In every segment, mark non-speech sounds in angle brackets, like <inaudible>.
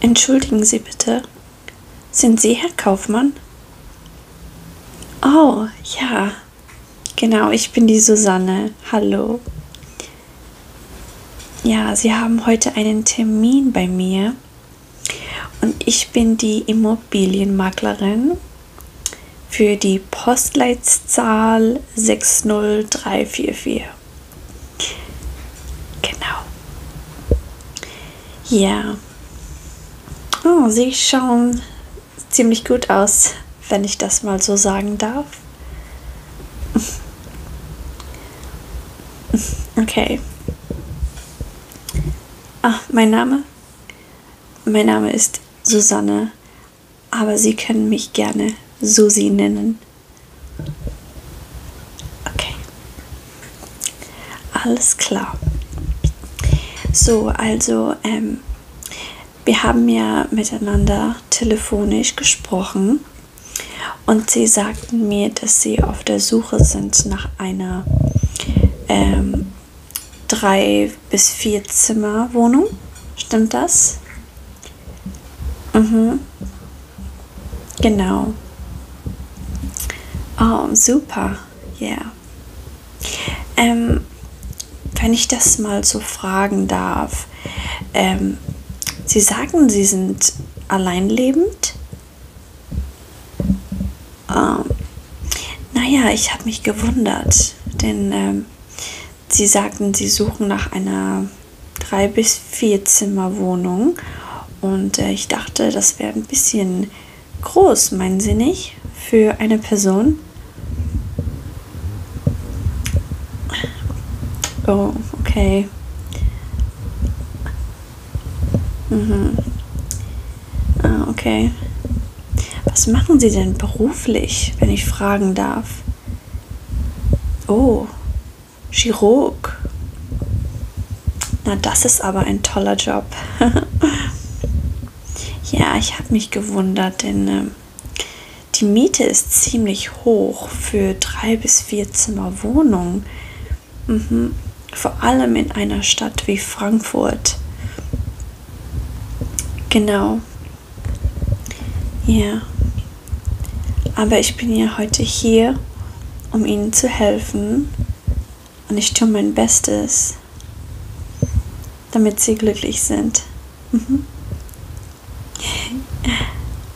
Entschuldigen Sie bitte, sind Sie Herr Kaufmann? Oh, ja. Genau, ich bin die Susanne. Hallo. Ja, Sie haben heute einen Termin bei mir und ich bin die Immobilienmaklerin für die Postleitzahl 60344 dafür. Genau. Ja. Oh, sie schauen ziemlich gut aus, wenn ich das mal so sagen darf. Okay. Ah, mein Name? Mein Name ist Susanne, aber Sie können mich gerne Susi nennen. Okay. Alles klar. So, also ähm, wir haben ja miteinander telefonisch gesprochen und sie sagten mir, dass sie auf der Suche sind nach einer ähm, drei bis vier Zimmer Wohnung. Stimmt das? Mhm. Genau. Oh, super. Ja. Yeah. Ähm, wenn ich das mal so fragen darf. Ähm, Sie sagen, Sie sind alleinlebend. Ähm, naja, ich habe mich gewundert, denn ähm, Sie sagten, Sie suchen nach einer drei bis vier Zimmer Wohnung und äh, ich dachte, das wäre ein bisschen groß, meinen Sie nicht, für eine Person. Oh, okay. Mhm. Ah, okay. Was machen Sie denn beruflich, wenn ich fragen darf? Oh, Chirurg. Na, das ist aber ein toller Job. <laughs> ja, ich habe mich gewundert, denn äh, die Miete ist ziemlich hoch für drei bis vier Zimmer Wohnung. Mhm. Vor allem in einer Stadt wie Frankfurt. Genau. Ja. Aber ich bin ja heute hier, um Ihnen zu helfen und ich tue mein Bestes, damit Sie glücklich sind. Mhm.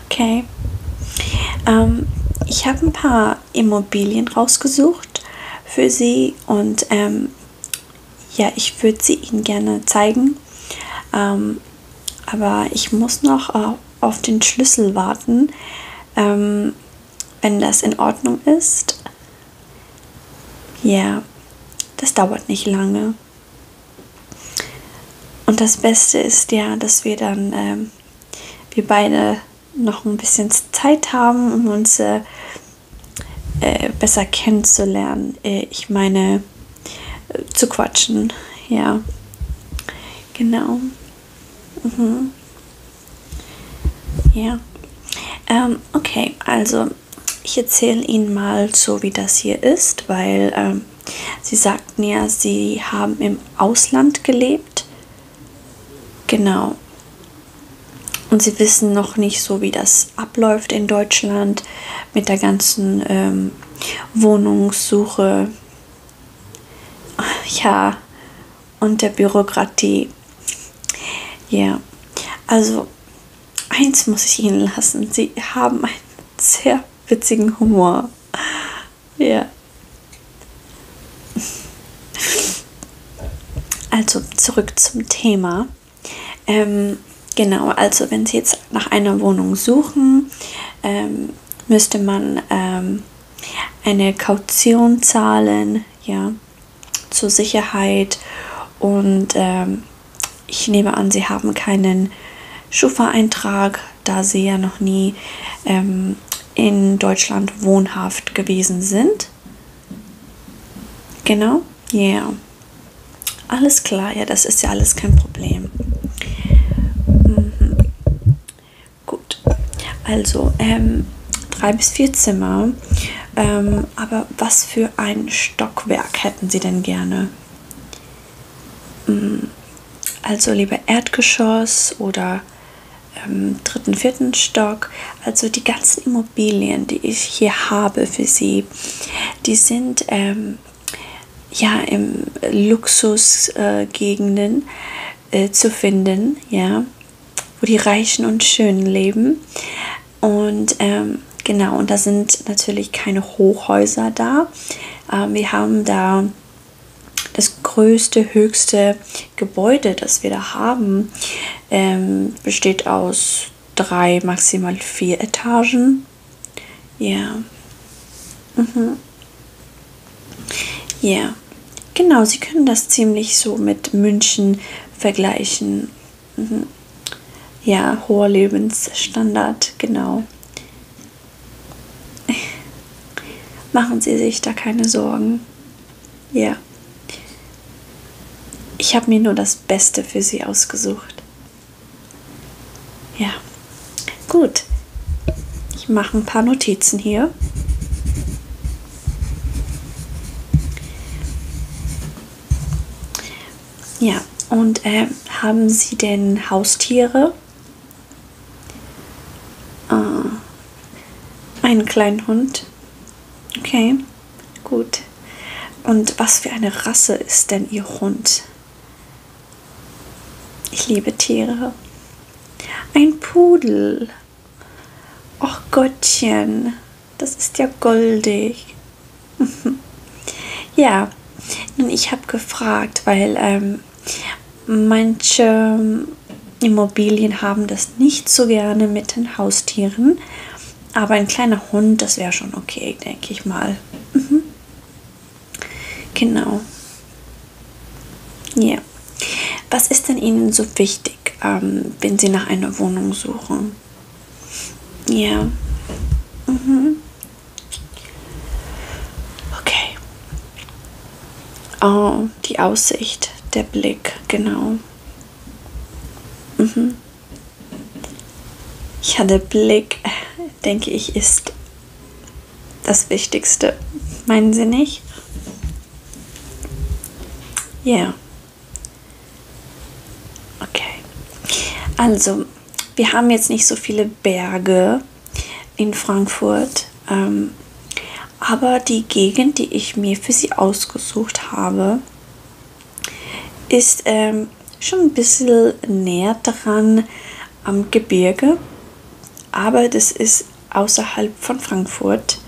Okay. Ähm, ich habe ein paar Immobilien rausgesucht für Sie und ähm, ja, ich würde sie Ihnen gerne zeigen. Ähm, aber ich muss noch äh, auf den Schlüssel warten. Ähm, wenn das in Ordnung ist. Ja, yeah, das dauert nicht lange. Und das Beste ist ja, dass wir dann, ähm, wir beide noch ein bisschen Zeit haben, um uns äh, äh, besser kennenzulernen. Äh, ich meine, äh, zu quatschen. Ja, genau. Mhm. Ja. Ähm, okay, also ich erzähle Ihnen mal so, wie das hier ist, weil ähm, Sie sagten ja, Sie haben im Ausland gelebt. Genau. Und Sie wissen noch nicht so, wie das abläuft in Deutschland mit der ganzen ähm, Wohnungssuche ja, und der Bürokratie. Ja, yeah. also eins muss ich ihnen lassen. Sie haben einen sehr witzigen Humor. Ja. Yeah. Also zurück zum Thema. Ähm, genau, also wenn Sie jetzt nach einer Wohnung suchen, ähm, müsste man ähm, eine Kaution zahlen, ja, zur Sicherheit. Und ähm, ich nehme an, sie haben keinen Schufa-Eintrag, da sie ja noch nie ähm, in Deutschland wohnhaft gewesen sind. Genau, ja. Yeah. Alles klar, ja, das ist ja alles kein Problem. Mhm. Gut, also ähm, drei bis vier Zimmer. Ähm, aber was für ein Stockwerk hätten Sie denn gerne? Hm, also lieber Erdgeschoss oder ähm, dritten, vierten Stock. Also die ganzen Immobilien, die ich hier habe für Sie, die sind ähm, ja im Luxusgegenden. Äh, äh, zu finden, ja, wo die Reichen und Schönen leben. Und ähm, genau, und da sind natürlich keine Hochhäuser da. Ähm, wir haben da das größte, höchste Gebäude, das wir da haben, ähm, besteht aus drei, maximal vier Etagen. Ja. Mhm. Ja, yeah. genau, Sie können das ziemlich so mit München vergleichen. Mhm. Ja, hoher Lebensstandard, genau. <laughs> Machen Sie sich da keine Sorgen. Ja. Yeah. Ich habe mir nur das Beste für Sie ausgesucht. Ja. Gut, ich mache ein paar Notizen hier. Ja, und äh, haben Sie denn Haustiere? Äh, einen kleinen Hund. Okay, gut. Und was für eine Rasse ist denn Ihr Hund? Ich liebe Tiere. Ein Pudel. Och Gottchen, das ist ja goldig. <laughs> ja, nun, ich habe gefragt, weil ähm, manche ähm, Immobilien haben das nicht so gerne mit den Haustieren. Aber ein kleiner Hund, das wäre schon okay, denke ich mal. Mhm. Genau. Ja. Yeah. Was ist denn Ihnen so wichtig, ähm, wenn Sie nach einer Wohnung suchen? Ja. Yeah. Mhm. Okay. Oh, die Aussicht, der Blick, genau. Mhm. Ja, der Blick, denke ich, ist das Wichtigste, meinen Sie nicht? Ja. Yeah. Okay. Also, wir haben jetzt nicht so viele Berge in Frankfurt, ähm, aber die Gegend, die ich mir für Sie ausgesucht habe, ist ähm, schon ein bisschen näher dran am Gebirge, aber das ist außerhalb von Frankfurt.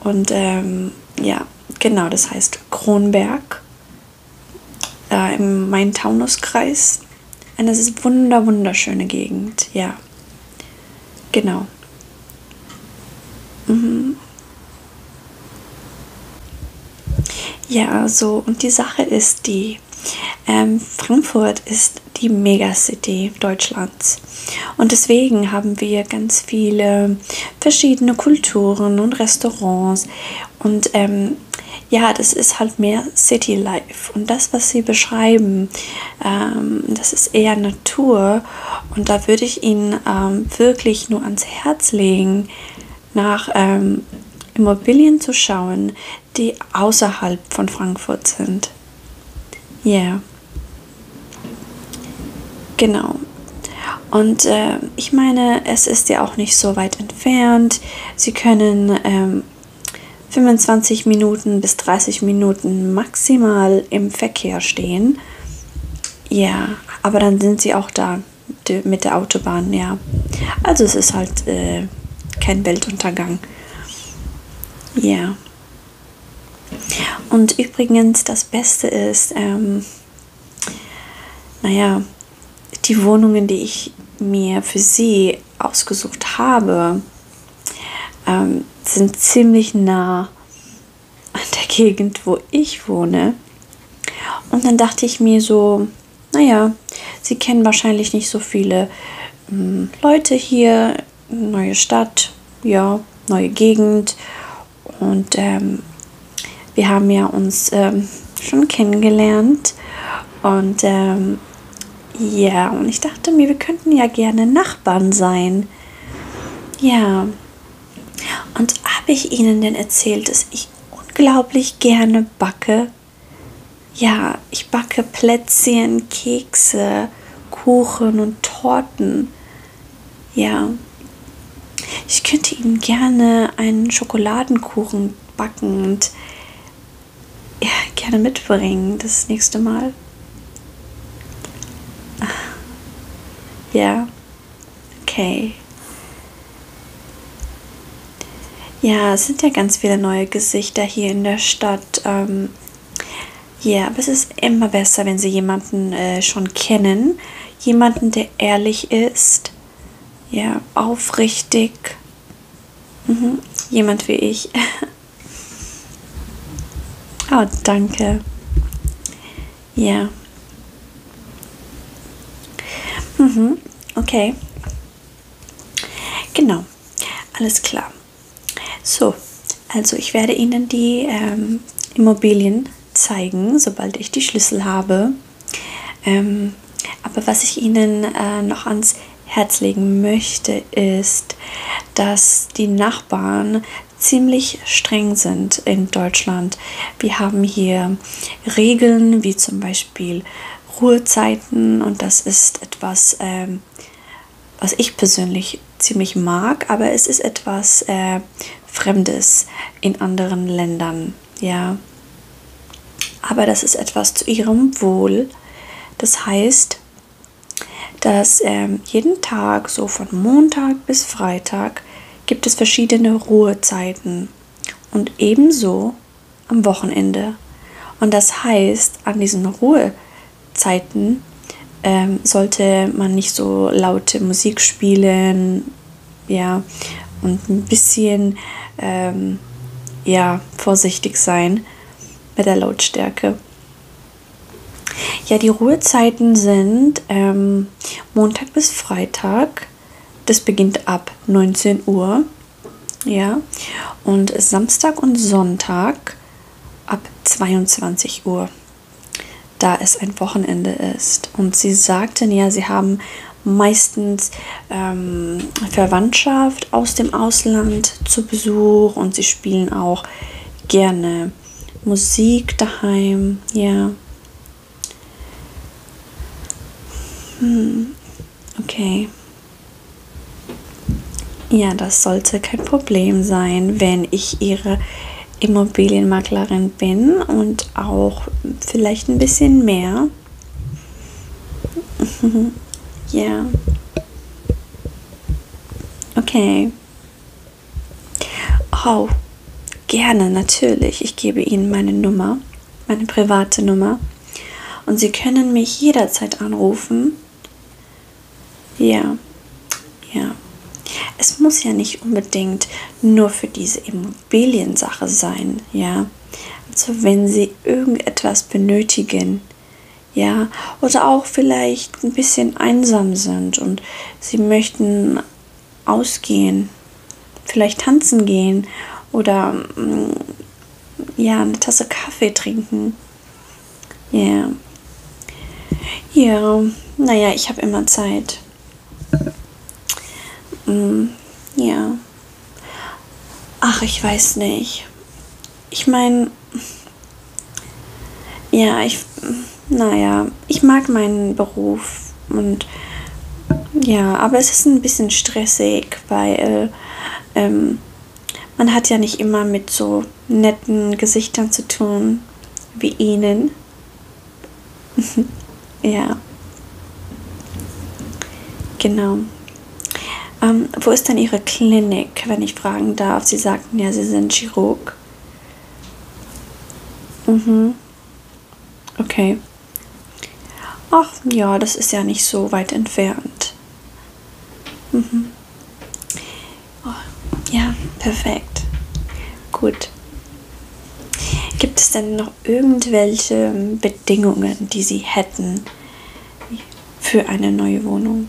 Und ähm, ja, genau, das heißt Kronberg äh, im Main-Taunus-Kreis. Und es ist wunder, wunderschöne Gegend, ja. Genau. Mhm. Ja, so, und die Sache ist die, ähm, Frankfurt ist ist die Megacity Deutschlands. Und deswegen haben wir ganz viele verschiedene Kulturen und Restaurants. Und ähm, ja, das ist halt mehr City Life. Und das, was sie beschreiben, ähm, das ist eher Natur. Und da würde ich Ihnen ähm, wirklich nur ans Herz legen, nach ähm, Immobilien zu schauen, die außerhalb von Frankfurt sind. Ja. Yeah. Genau. Und äh, ich meine, es ist ja auch nicht so weit entfernt. Sie können ähm, 25 Minuten bis 30 Minuten maximal im Verkehr stehen. Ja, aber dann sind sie auch da mit der Autobahn, ja. Also es ist halt äh, kein Weltuntergang. Ja. Und übrigens, das Beste ist, ähm, naja, die Wohnungen, die ich mir für sie ausgesucht habe, ähm, sind ziemlich nah an der Gegend, wo ich wohne. Und dann dachte ich mir so, naja, sie kennen wahrscheinlich nicht so viele hm, Leute hier, neue Stadt, ja, neue Gegend. Und ähm, wir haben ja uns ähm, schon kennengelernt. Und ähm, ja, und ich dachte mir, wir könnten ja gerne Nachbarn sein. Ja. Und habe ich Ihnen denn erzählt, dass ich unglaublich gerne backe? Ja, ich backe Plätzchen, Kekse, Kuchen und Torten. Ja. Ich könnte ihm gerne einen Schokoladenkuchen backen und ja, gerne mitbringen das nächste Mal. Ah. Ja. Okay. Ja, es sind ja ganz viele neue Gesichter hier in der Stadt. Ähm, ja, yeah, aber es ist immer besser, wenn Sie jemanden äh, schon kennen. Jemanden, der ehrlich ist, ja, aufrichtig. Mhm. Jemand wie ich. <laughs> oh, danke. Ja. Yeah. Mhm, okay. Genau. Alles klar. So, also ich werde Ihnen die ähm, Immobilien zeigen, sobald ich die Schlüssel habe. Ähm, aber was ich Ihnen äh, noch ans Herz legen möchte, ist, dass die Nachbarn ziemlich streng sind in Deutschland. Wir haben hier Regeln wie zum Beispiel Ruhezeiten und das ist etwas ähm, was ich persönlich ziemlich mag, aber es ist etwas äh, Fremdes in anderen Ländern, ja. Aber das ist etwas zu ihrem Wohl. Das heißt, dass äh, jeden Tag, so von Montag bis Freitag, gibt es verschiedene Ruhezeiten und ebenso am Wochenende. Und das heißt, an diesen Ruhezeiten Zeiten ähm, sollte man nicht so laute Musik spielen, ja, und ein bisschen, ähm, ja, vorsichtig sein mit der Lautstärke. Ja, die Ruhezeiten sind ähm, Montag bis Freitag. Das beginnt ab 19 Uhr. Ja, und Samstag und Sonntag ab 22 Uhr, da es ein Wochenende ist. Und sie sagten ja, sie haben meistens ähm, Verwandtschaft aus dem Ausland zu Besuch und sie spielen auch gerne Musik daheim, ja. Hm, okay. Ja, das sollte kein Problem sein, wenn ich Ihre Immobilienmaklerin bin und auch vielleicht ein bisschen mehr. <laughs> ja. Okay. Oh, gerne, natürlich. Ich gebe Ihnen meine Nummer, meine private Nummer. Und Sie können mich jederzeit anrufen ja, ja. Es muss ja nicht unbedingt nur für diese Immobiliensache sein, ja. Also wenn Sie irgendetwas benötigen, ja, oder auch vielleicht ein bisschen einsam sind und Sie möchten ausgehen, vielleicht tanzen gehen oder mm, ja, eine Tasse Kaffee trinken ja. Yeah. Ja, naja, ich habe immer Zeit. Mm, ja. Ach, ich weiß nicht. Ich meine, ja, ich, naja, ich mag meinen Beruf und ja, aber es ist ein bisschen stressig, weil ähm, man hat ja nicht immer mit so netten Gesichtern zu tun wie ihnen. <laughs> ja. Genau. Ähm, wo ist denn Ihre Klinik, wenn ich fragen darf? Sie sagten ja, Sie sind Chirurg. Mhm. Okay. Ach ja, das ist ja nicht so weit entfernt. Mhm. Oh, ja, perfekt. Gut. Gibt es denn noch irgendwelche Bedingungen, die Sie hätten für eine neue Wohnung?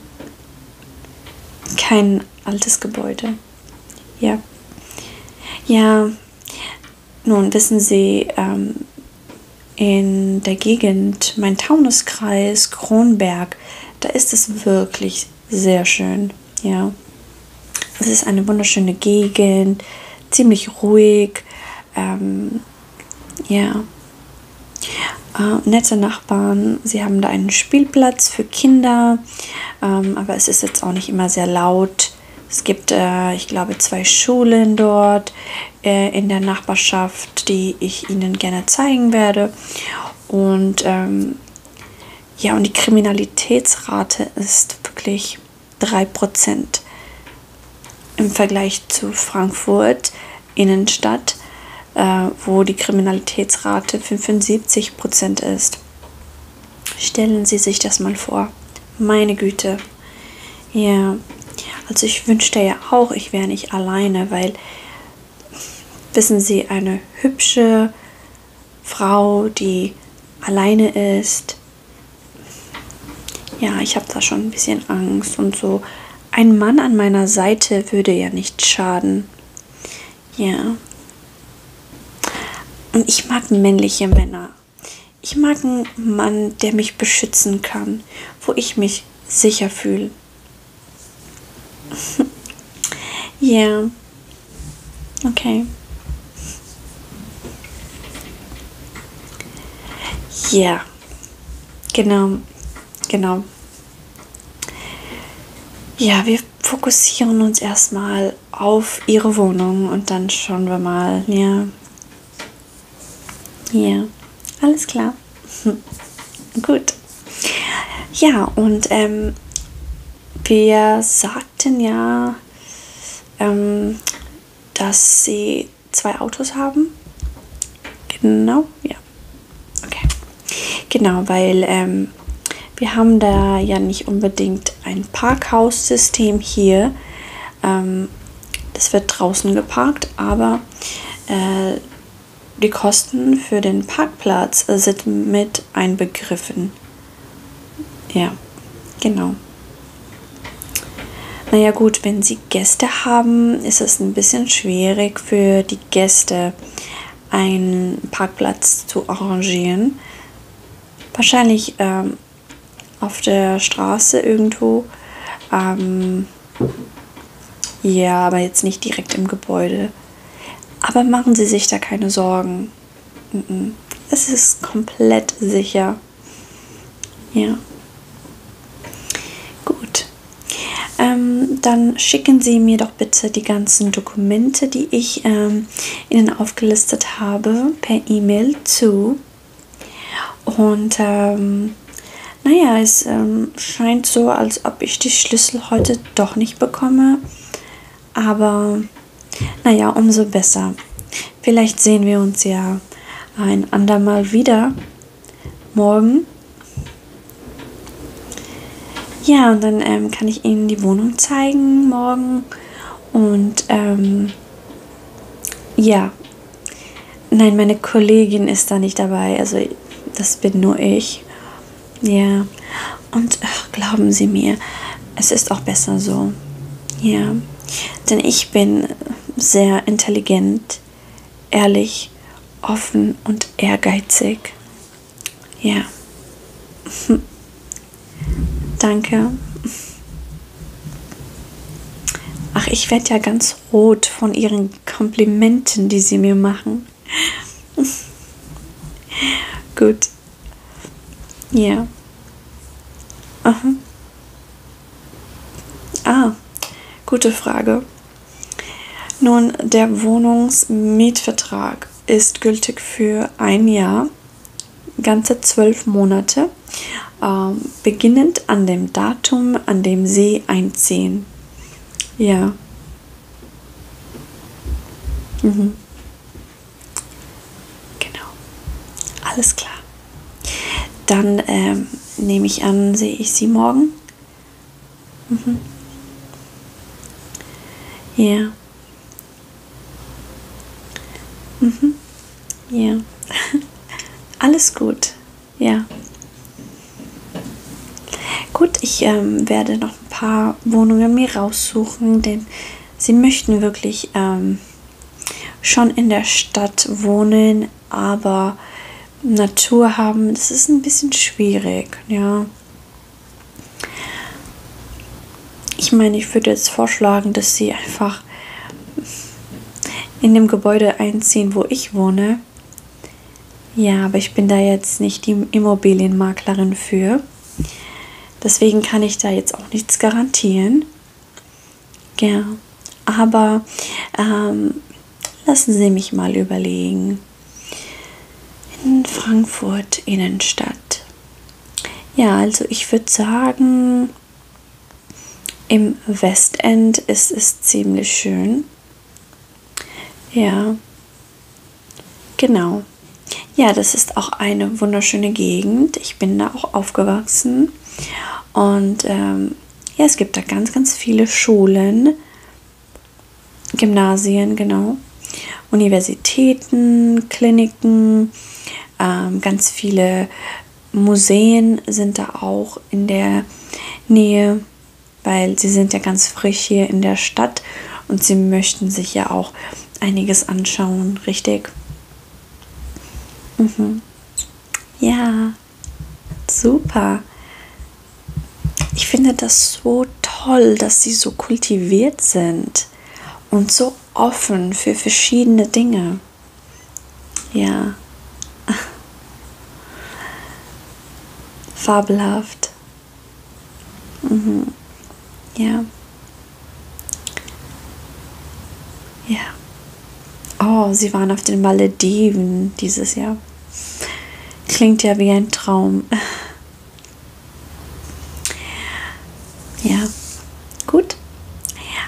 Kein altes Gebäude. Ja. Ja. Nun wissen Sie, ähm, in der Gegend, mein Taunuskreis, Kronberg, da ist es wirklich wirklich sehr schön. Ja. Es ist eine wunderschöne Gegend, ziemlich ruhig. Ähm, ja. Äh, nette Nachbarn. Sie haben da einen Spielplatz für Kinder, ähm, aber es ist jetzt auch nicht immer sehr laut. Es gibt, äh, ich glaube, zwei Schulen dort äh, in der Nachbarschaft, die ich Ihnen gerne zeigen werde. Und ähm, ja, und die Kriminalitätsrate ist wirklich 3% im Vergleich zu Frankfurt Innenstadt, äh, wo die Kriminalitätsrate 75% ist. Stellen Sie sich das mal vor. Meine Güte. Ja, also ich wünschte ja auch, ich wäre nicht alleine, weil wissen Sie, eine hübsche Frau, die alleine ist. Ja, ich habe da schon ein bisschen Angst und so. Ein Mann an meiner Seite würde ja nicht schaden. Ja. Und ich mag männliche Männer. Ich mag einen Mann, der mich beschützen kann, wo ich mich sicher fühle. <laughs> yeah. Okay. Ja. Genau. Genau. Ja, wir fokussieren uns erstmal auf ihre Wohnung und dann schauen wir mal. Ja. Ja. Alles klar. <laughs> Gut. Ja, und ähm, wir sagten ja, ähm, dass sie zwei Autos haben. Genau, ja. Okay. Genau, weil ähm, wir haben da ja nicht unbedingt ein Parkhaussystem hier. Ähm, das wird draußen geparkt, aber äh, die Kosten für den Parkplatz sind mit einbegriffen. Ja, genau. Naja gut, wenn Sie Gäste haben, ist es ein bisschen schwierig für die Gäste einen Parkplatz zu arrangieren. Wahrscheinlich ähm, auf der Straße irgendwo. Ähm, ja, aber jetzt nicht direkt im Gebäude. Aber machen Sie sich da keine Sorgen. Es ist komplett sicher. Ja. Gut. Ähm, dann schicken Sie mir doch bitte die ganzen Dokumente, die ich ähm, Ihnen aufgelistet habe, per E-Mail zu. Und ähm, naja, es ähm, scheint so, als ob ich die Schlüssel heute doch nicht bekomme. Aber naja, umso besser. Vielleicht sehen wir uns ja ein andermal wieder. Morgen. Ja, und dann ähm, kann ich Ihnen die Wohnung zeigen morgen. Und ähm, ja, nein, meine Kollegin ist da nicht dabei. Also das bin nur ich. Ja. Und ach, glauben Sie mir, es ist auch besser so. Ja. Denn ich bin sehr intelligent, ehrlich, offen und ehrgeizig. Ja. <laughs> Danke. Ach, ich werde ja ganz rot von Ihren Komplimenten, die Sie mir machen. Gut. Ja. Aha. Ah, gute Frage. Nun, der Wohnungsmietvertrag ist gültig für ein Jahr, ganze zwölf Monate, ähm, beginnend an dem Datum, an dem Sie einziehen. Ja, Mhm. Genau. Alles klar. Dann ähm, nehme ich an, sehe ich Sie morgen. Mhm. Ja. Mhm. Ja. <laughs> Alles gut. Ja. Gut, ich ähm, werde noch paar Wohnungen mir raussuchen, denn sie möchten wirklich ähm, schon in der Stadt wohnen, aber Natur haben, das ist ein bisschen schwierig, ja. Ich meine, ich würde jetzt vorschlagen, dass sie einfach in dem Gebäude einziehen, wo ich wohne. Ja, aber ich bin da jetzt nicht die Immobilienmaklerin für. Deswegen kann ich da jetzt auch nichts garantieren. Ja, aber ähm, lassen Sie mich mal überlegen. In Frankfurt Innenstadt. Ja, also ich würde sagen, im Westend ist es ziemlich schön. Ja, genau. Ja, das ist auch eine wunderschöne Gegend. Ich bin da auch aufgewachsen. Und ähm, ja, es gibt da ganz, ganz viele Schulen, Gymnasien, genau, Universitäten, Kliniken, ähm, ganz viele Museen sind da auch in der Nähe, weil sie sind ja ganz frisch hier in der Stadt hat und sie möchten sich ja auch einiges anschauen, richtig? Mhm. Ja, super. Ich finde das so toll, dass sie so kultiviert sind und so offen für verschiedene Dinge. Ja. <laughs> Fabelhaft. Mhm. Ja. Ja. Oh, sie waren auf den Malediven dieses Jahr. Klingt ja wie ein Traum. <laughs> Ja, gut.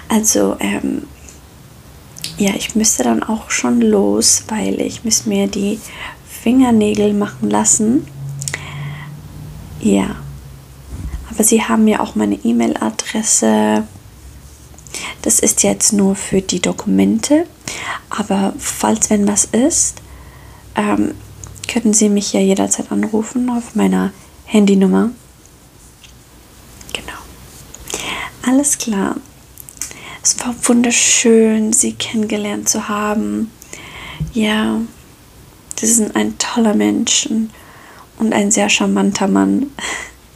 Also, ähm, ja, ich müsste dann auch schon los, weil ich muss mir die Fingernägel machen lassen. Ja. Aber sie haben ja auch meine E-Mail-Adresse. Das ist jetzt nur für die Dokumente. Aber falls wenn was ist, ähm, können Sie mich ja jederzeit anrufen auf meiner Handynummer. Genau. Alles klar. Es war wunderschön, Sie kennengelernt zu haben. Ja, Sie sind ein toller Mensch und ein sehr charmanter Mann,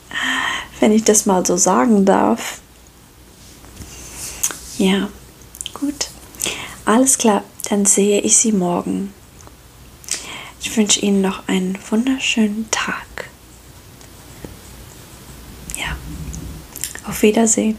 <laughs> wenn ich das mal so sagen darf. Ja, gut. Alles klar, dann sehe ich Sie morgen. Ich wünsche Ihnen noch einen wunderschönen Tag. Ja, auf Wiedersehen.